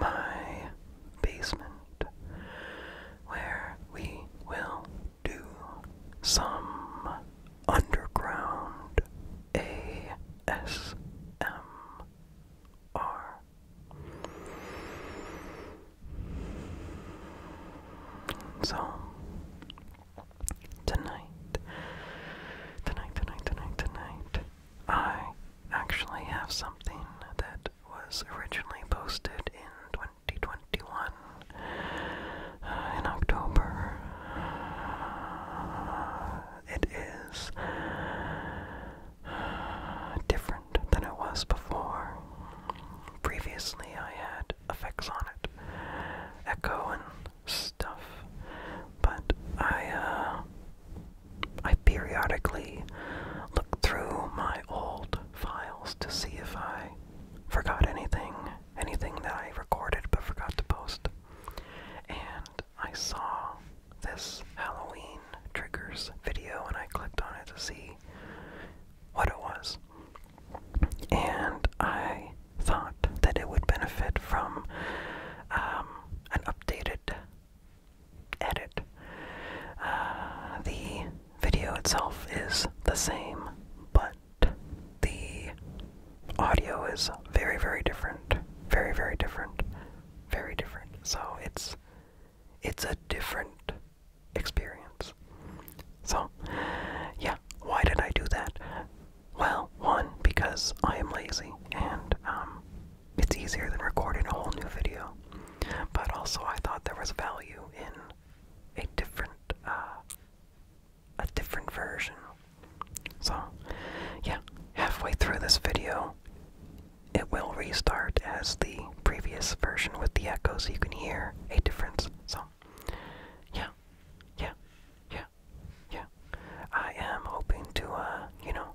my basement where we will do some underground ASMR. So, tonight, tonight, tonight, tonight, tonight, I actually have something that was originally posted in 2021 uh, in October. it is uh, different than it was before. Previously, I had effects on it, echo and stuff, but I uh, I periodically look through my old files to see if I forgot anything, anything that I recorded but forgot to post. And I saw this Halloween triggers video and I clicked on it to see what it was. And I thought that it would benefit from um, an updated edit. Uh, the video itself is the same, but the audio is very, very different. Very, very different. Very different. So it's it's a different experience. So, yeah, why did I do that? Well, one, because I am lazy and um, it's easier than recording a whole new video. But also, I thought there was value in a different, uh, a different version. So, yeah, halfway through this video, it will restart as the previous version with the echo, so you can hear a difference. So, yeah, yeah, yeah, yeah. I am hoping to, uh, you know,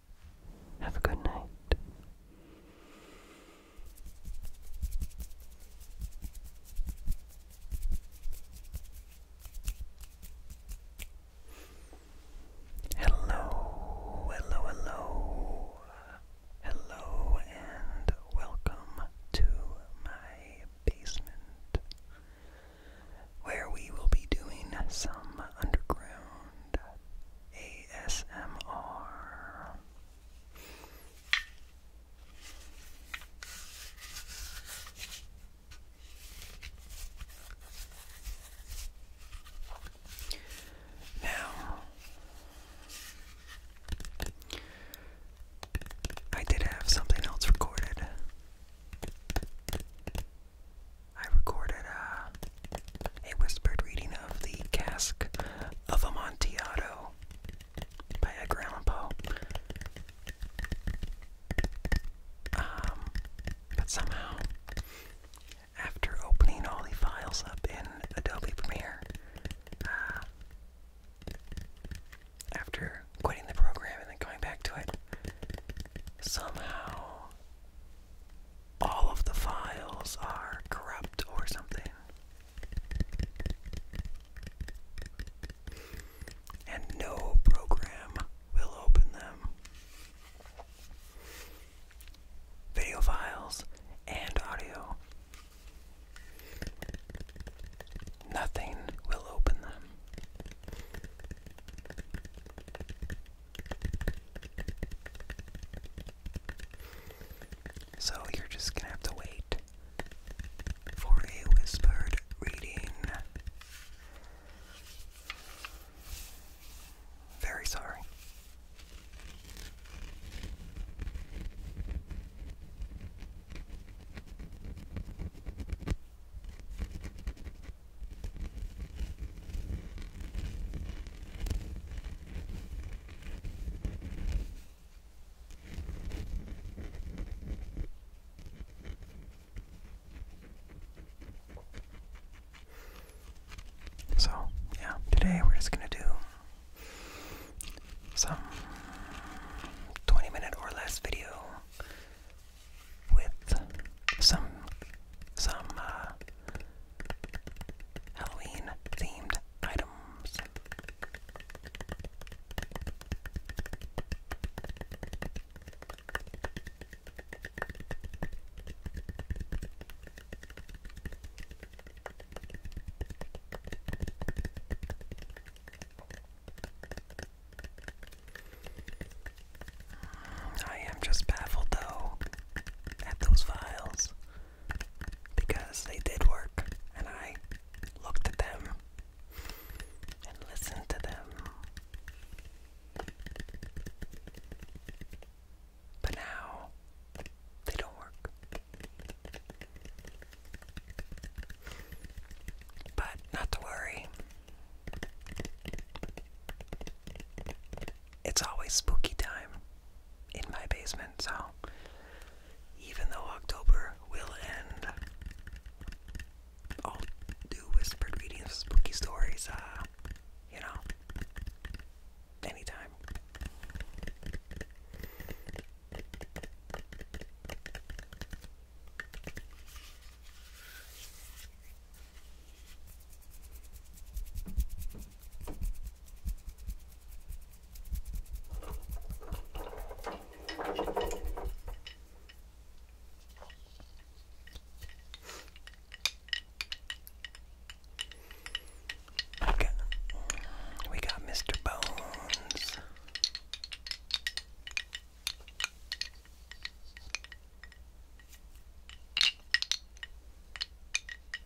Have a good night. Hello, hello, hello. Hello and welcome to my basement where we will be doing some underground ASMR. Now, I did have something else recorded. I recorded uh, a whispered reading of The Cask of Amontillado by Edgar Allan Poe. Um, but somehow, after opening all the files up in Adobe Premiere, uh, after quitting the program and then going back to it, somehow all of the files are corrupt or something. And no program will open them. Video files and audio. Nothing will open them. So you're just gonna have to wait for a whispered reading. Very sorry. So, yeah, today we're just going to do some 20 minute or less video with some some uh, Halloween themed items. I am just baffled though at those files because they did work and I looked at them and listened to them. But now they don't work. But not to worry it's always spooky time in my basement, so even though October will end, I'll do whispered readings of spooky stories, uh, you know, anytime. We got, we got Mr. Bones.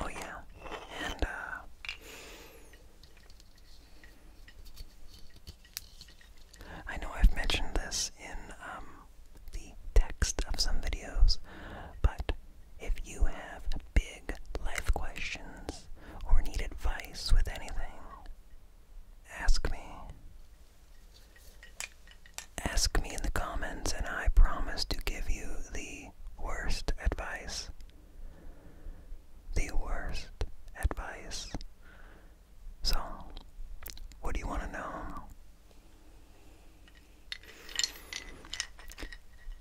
Oh yeah, and uh, I know I've mentioned this in um, the text of some videos, but if you have big life questions or need advice with anything, ask me. Ask me in the comments, and I promise to give you the worst advice. The worst advice. So, what do you want to know?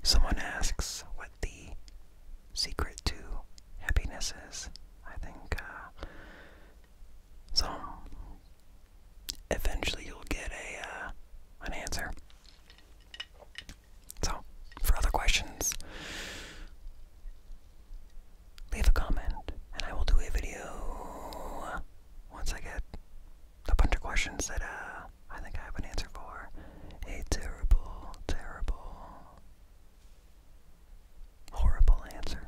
Someone asks what the secret to happiness is. I think, uh, so eventually you'll get a, uh, an answer. So, for other questions, leave a comment and I will do a video once I get a bunch of questions that uh, I think I have an answer for. A terrible, terrible, horrible answer.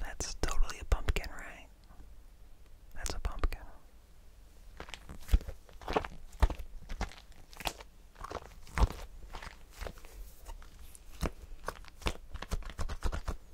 That's totally a pumpkin, right? That's a pumpkin.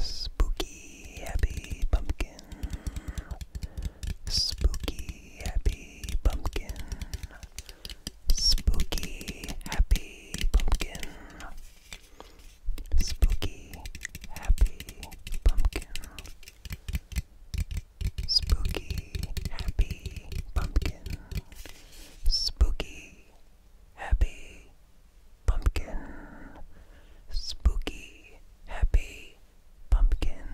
Spooky happy pumpkin. Spooky happy pumpkin. Spooky happy pumpkin. Spooky happy pumpkin. Spooky Happy Pumpkin. Spooky Happy Pumpkin. Spooky Happy Pumpkin.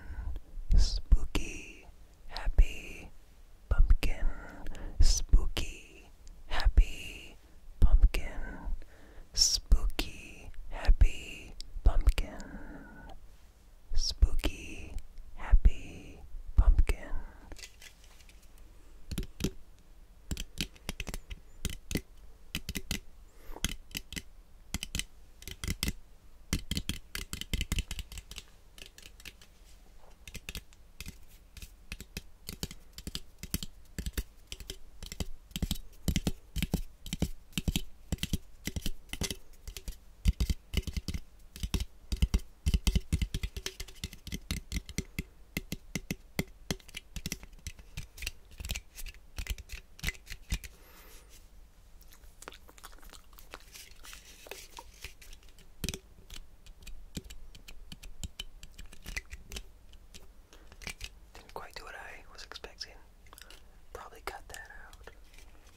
Spooky Happy Pumpkin. Spooky Happy Pumpkin. Spooky Happy Pumpkin. Spooky Happy Pumpkin. Didn't quite do what I was expecting. Probably cut that out.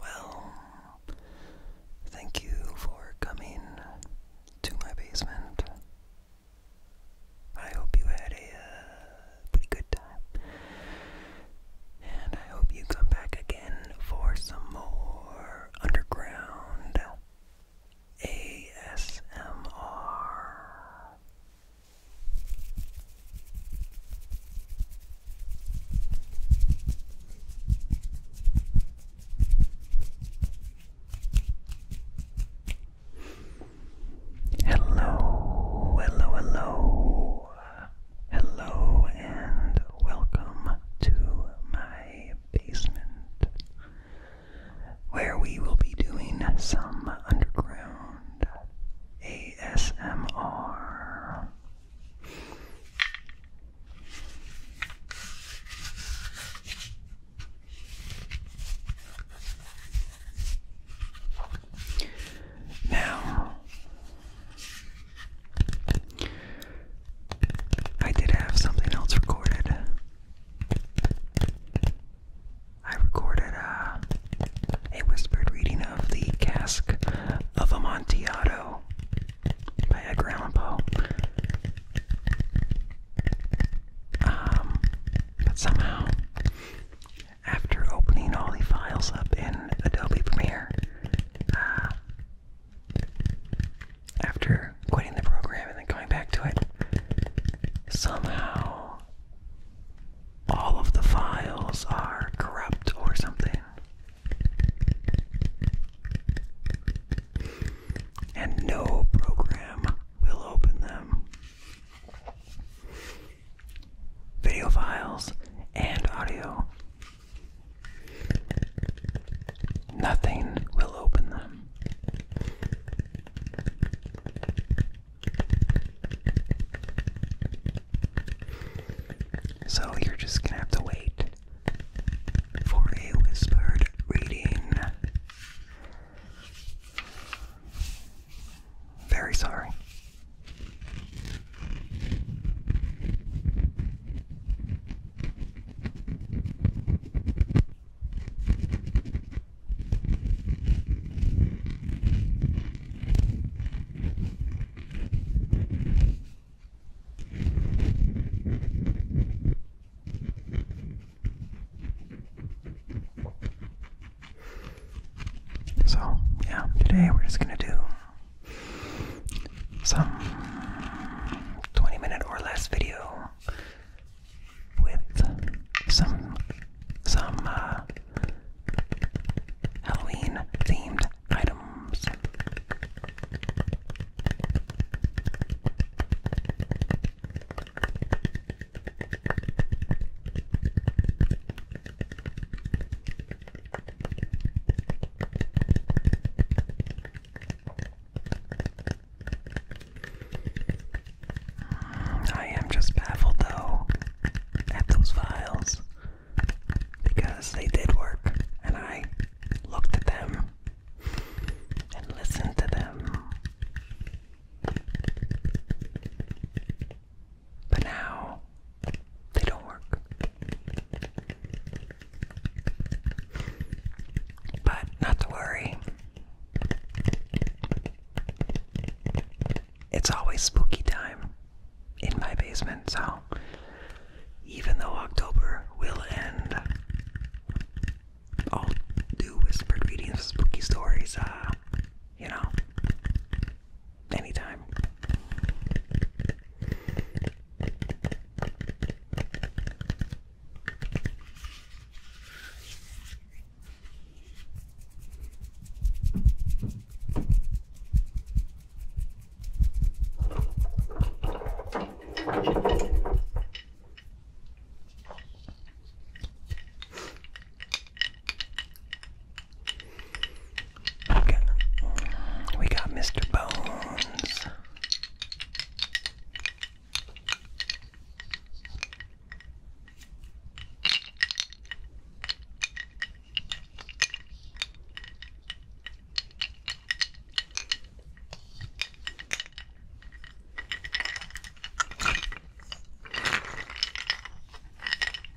Well, thank you for coming to my basement. I hope you had a uh, pretty good time. And I hope you come back again for some more underground ASMR. Hello, hello, hello. Hello and welcome to my basement where we will be doing some underground ASMR. Now, I did have something else recorded. I recorded uh, a whispered reading of The Cask of Amontillado by Edgar Allan um, but somehow after opening all the files up in Adobe Premiere, uh, after quitting the program and then going back to it, somehow all of the files are corrupt or something. And no program will open them video files, and audio. Nothing will open them. So you're just gonna have to wait for a whispered reading. Very sorry. So, yeah, today we're just going to do some 20 minute or less video with some some uh, Halloween themed items. I am just baffled though at those files because they did work and I looked at them and listened to them. But now, they don't work. But not to worry. It's always spooky time in my basement, so even though October will end, I'll do whispered readings spooky stories, uh, you know, anytime. We got, Mr. Bones.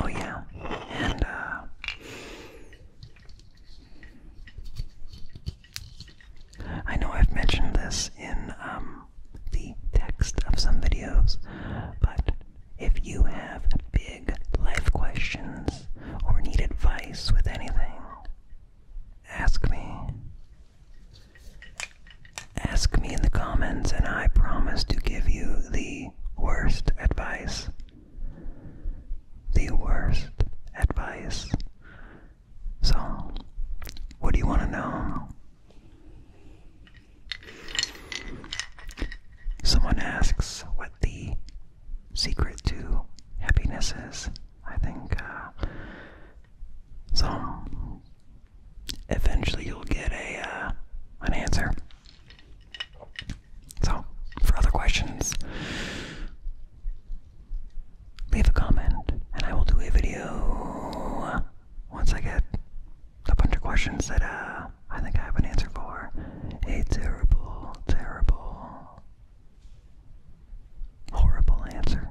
Oh, yeah, and uh, I know I've mentioned this in um, the text of some videos, but if you have big life questions or need advice with anything, ask me. Ask me in the comments, and I promise to give you the worst advice. The worst advice. So, what do you want to know? Someone asks what the secret to happiness is. I think uh, so. Eventually, you'll get a uh, an answer. So, for other questions, leave a comment, and I will do a video once I get a bunch of questions that uh, I think I have an answer for a terrible, terrible, horrible answer.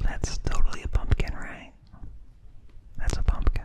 That's totally a pumpkin, right? That's a pumpkin.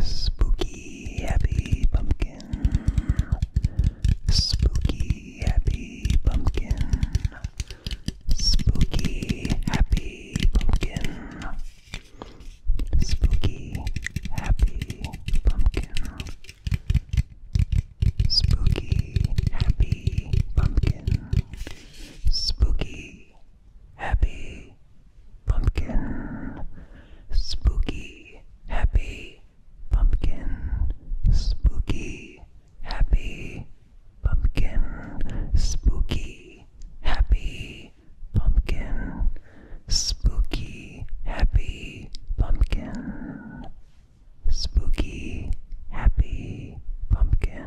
Spooky happy pumpkin. Spooky happy pumpkin. Spooky Happy Pumpkin. Spooky Happy Pumpkin. Spooky Happy Pumpkin. Spooky Happy Pumpkin. Spooky Happy Pumpkin. Spooky Happy Pumpkin Spooky. Happy Pumpkin Spooky. Happy Pumpkin Spooky. Happy Pumpkin.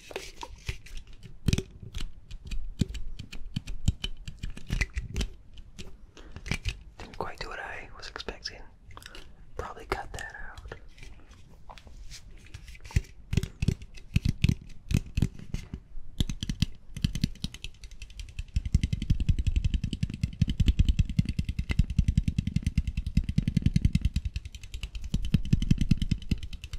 Didn't quite do what I was expecting. Probably cut that out.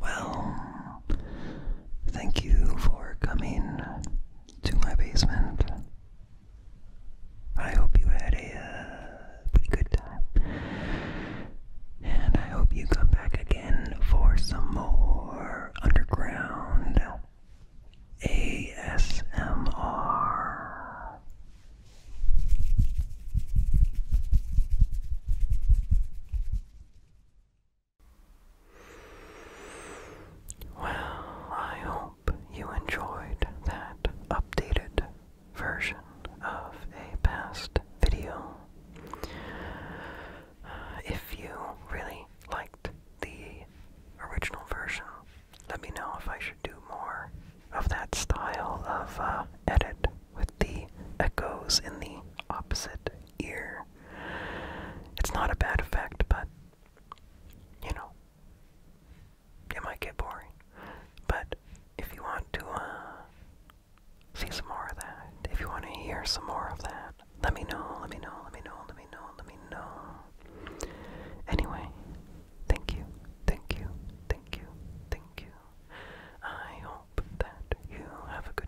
Well, thank you for coming to my basement. I hope you had a uh, pretty good time. And I hope you come back again for some more underground ASMR. Well, I hope you enjoyed that updated version of a past video. Uh, if you really liked the original version, let me know if I should do more of that style of uh, edit with the echoes in the opposite ear. It's not a bad effect, but you know, it might get boring. But if you want to uh, see some more of that, if you want to hear some more of that, let me know, let me know, let me know, let me know, let me know. Anyway, thank you, thank you, thank you, thank you. I hope that you have a good